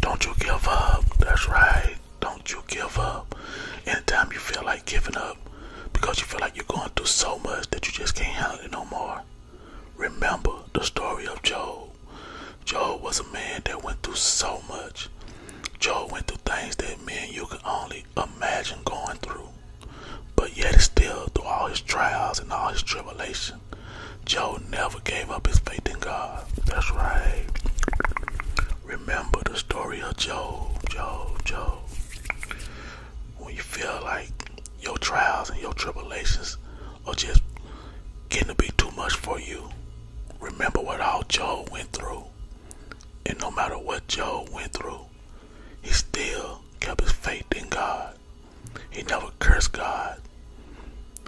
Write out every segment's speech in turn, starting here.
Don't you give up. That's right. Don't you give up. Anytime you feel like giving up because you feel like you're going through so much that you just can't handle it no more, remember the story of Job. Job was a man that went through so much. Job went through things that men you could only imagine going through. But yet, he still, through all his trials and all his tribulations, situation. Joe never gave up his faith in God. That's right. Remember the story of Job, Job, Job. When you feel like your trials and your tribulations are just getting to be too much for you, remember what all Job went through. And no matter what Job went through, he still kept his faith in God. He never cursed God.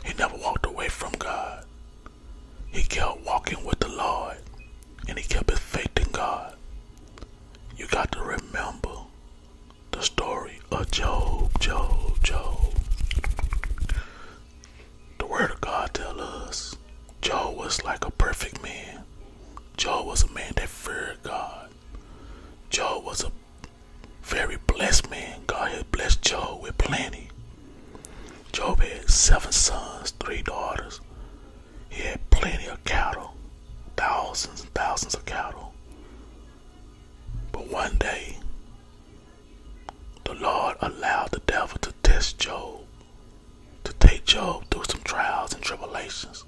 He never walked away from God. He kept walking with the Lord and he kept his faith in God. You got to remember the story of Job, Job, Job. The word of God tells us Job was like a perfect man. Job was a man that feared God. Job was a very blessed man. God had blessed Job with plenty. Job had seven sons, three daughters. He had plenty of cattle, thousands and thousands of cattle. But one day, the Lord allowed the devil to test Job, to take Job through some trials and tribulations,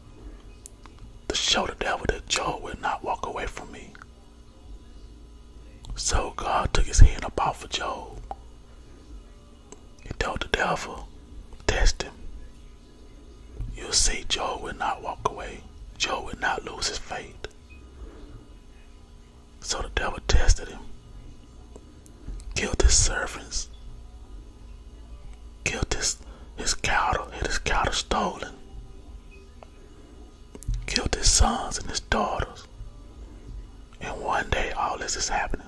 to show the devil that Job would not walk away from me. So God took his hand up off of Job and told the devil, Test him. You'll see Job will not walk away. Job will not lose his faith. So the devil tested him, killed his servants, killed his, his cattle, had his cattle stolen, killed his sons and his daughters. And one day, all this is happening.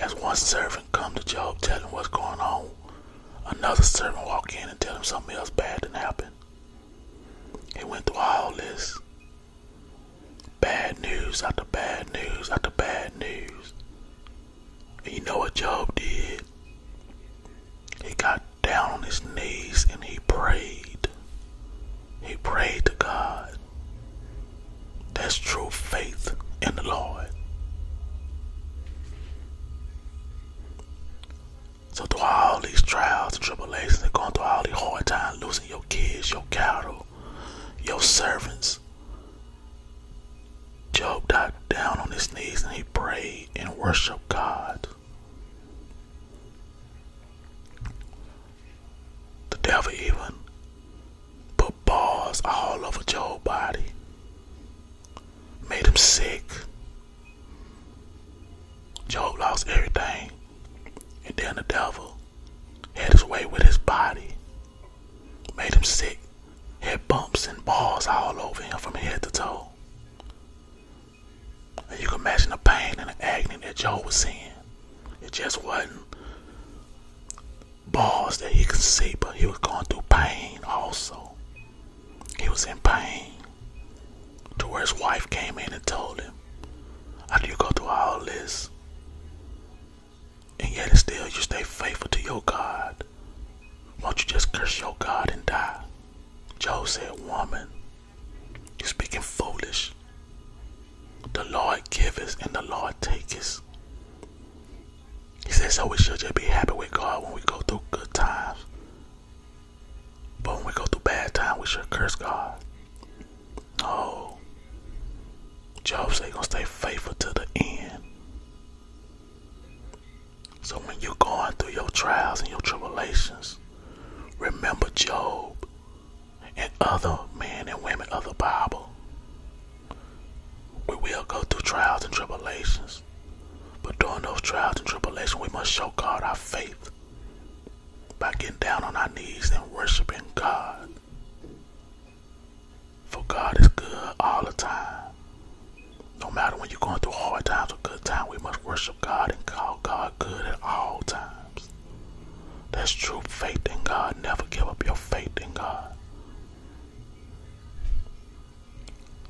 As one servant come to Job, telling what's going on. Another servant walk in and tell him something else bad done happen. He went through all this. Bad news after bad news after bad news. you know what Job did? he got down on his knees and he prayed. He prayed to God. That's true faith in the Lord. So through all these trials and tribulations and going through all these hard times, losing your kids, your cattle, your servants, Job got down on his knees and he prayed and worshiped God. The devil even put balls all over Joe's body, made him sick. Joe lost everything, and then the devil had his way with his body, made him sick, had bumps and balls all over him from head to toe you can imagine the pain and the agony that Joe was seeing. It just wasn't balls that he could see, but he was going through pain also. He was in pain. To where his wife came in and told him, After you go through all this, and yet still you stay faithful to your God. Won't you just curse your God and die? Job said, Woman, you are speaking foolish. The Lord giveth and the Lord taketh. He said, So we should just be happy with God when we go through good times. But when we go through bad times, we should curse God. No. Job said, You're going to stay faithful to the end. So when you're going through your trials and your tribulations, remember Job and other men and women of the Bible. We will go through trials and tribulations. But during those trials and tribulations, we must show God our faith by getting down on our knees and worshiping God. For God is good all the time. No matter when you're going through hard times or good times, we must worship God and call God good at all times. That's true faith in God. Never give up your faith in God.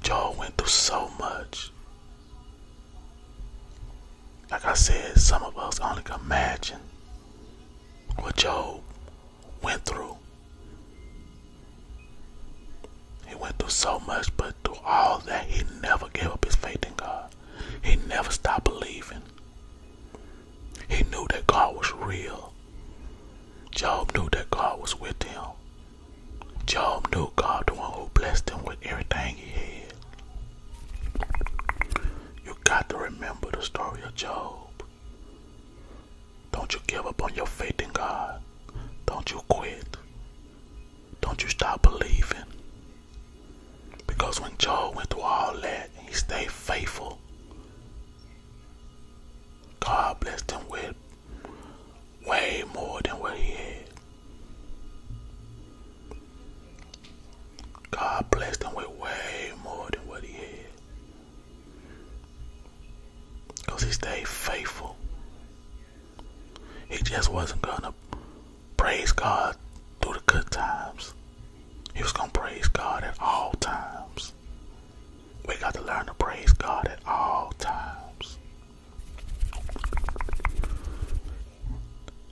Joel went through so much. Like I said, some of us only can imagine what Job went through. He went through so much, but through all that, he never gave up his faith in God. He never stopped believing. He knew that God was real. Job knew that God was with him. Job knew God, the one who blessed him with everything he had. You got to remember the story of Job. Don't you give up on your faith in God. Don't you quit. Don't you stop believing. Because when Job went through all that, he stayed faithful. God blessed him with way more than what he had. God blessed him with way more than what he had. Because he stayed faithful. He just wasn't gonna praise God through the good times. He was gonna praise God at all times. We got to learn to praise God at all times.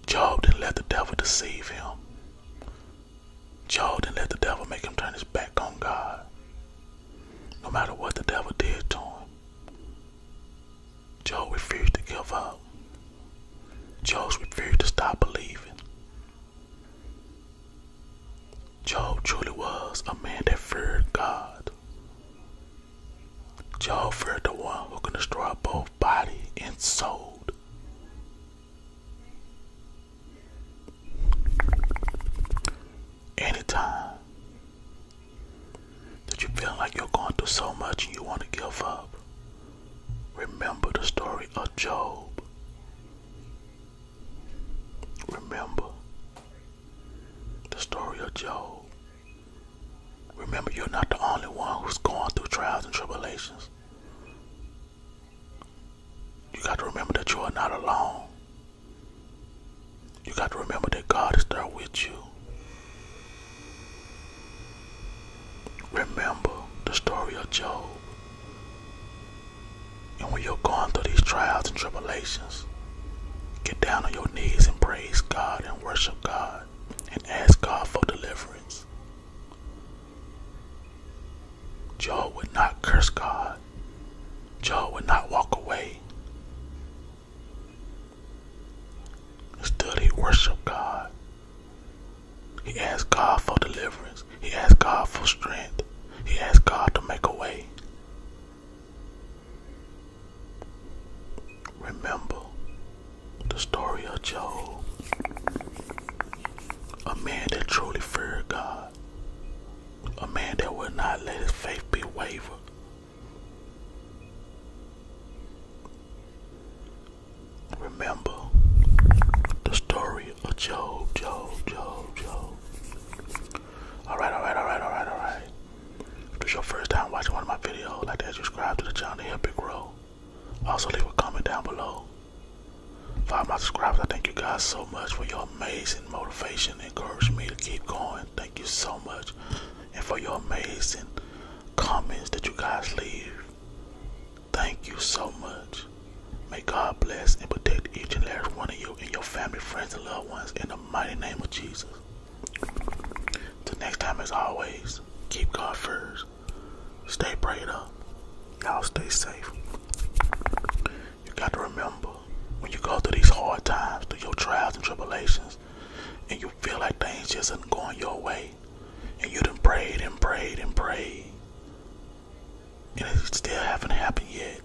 Job didn't let the devil deceive him. Job didn't let the devil make him turn his back on God. No matter what the devil did to him, Joe refused to give up. Joe refused to stop believing. Joe truly was a man that feared God. Joe feared the one who can destroy both body and soul. Anytime that you feel like you're going through so much and you want to give up, remember the story of Job. Remember the story of Job. Remember, you're not the only one who's going through trials and tribulations. You got to remember that you are not alone. You got to remember that God is there with you. Remember the story of Job. And when you're going through these trials and tribulations, get down on your knees and praise God and worship God and ask God for deliverance. Job would not curse God. Job would not walk away. Still, worship God. He asked God for deliverance. He asked God for strength. He asked God to make a way. Remember the story of Job, a man that truly feared God, a man that would not let his faith be wavered over. Remember the story of Job, Job, Job, Job. Alright, alright, alright, alright, alright. If this is your first time watching one of my videos, like that, subscribe to the channel to help it grow. Also, leave a comment down below. For my subscribers, I thank you guys so much for your amazing motivation. Encourage me to keep going. Thank you so much. And for your amazing comments that you guys leave. Thank you so much. May God bless and protect each and every one of you and your family, friends, and loved ones in the mighty name of Jesus. Till next time, as always, keep God first. Stay prayed up. Y'all stay safe. You got to remember when you go through these hard times, through your trials and tribulations, and you feel like things just are not going your way, and you done prayed and prayed and prayed, and it still haven't happened yet,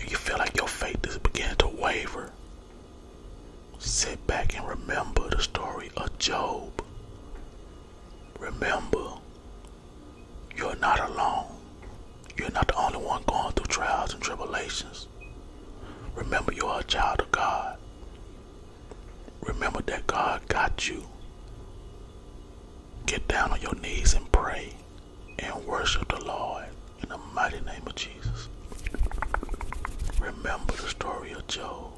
and you feel like your faith is beginning to waver, sit back and remember the story of Job. Remember, you're not alone. You're not the only one going through trials and tribulations. Remember, you are a child of God. Remember that God got you. Get down on your knees and pray and worship the Lord in the mighty name of Jesus. Remember the story of Job.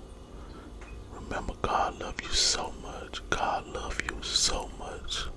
Remember, God loved you so much. God loved you so much.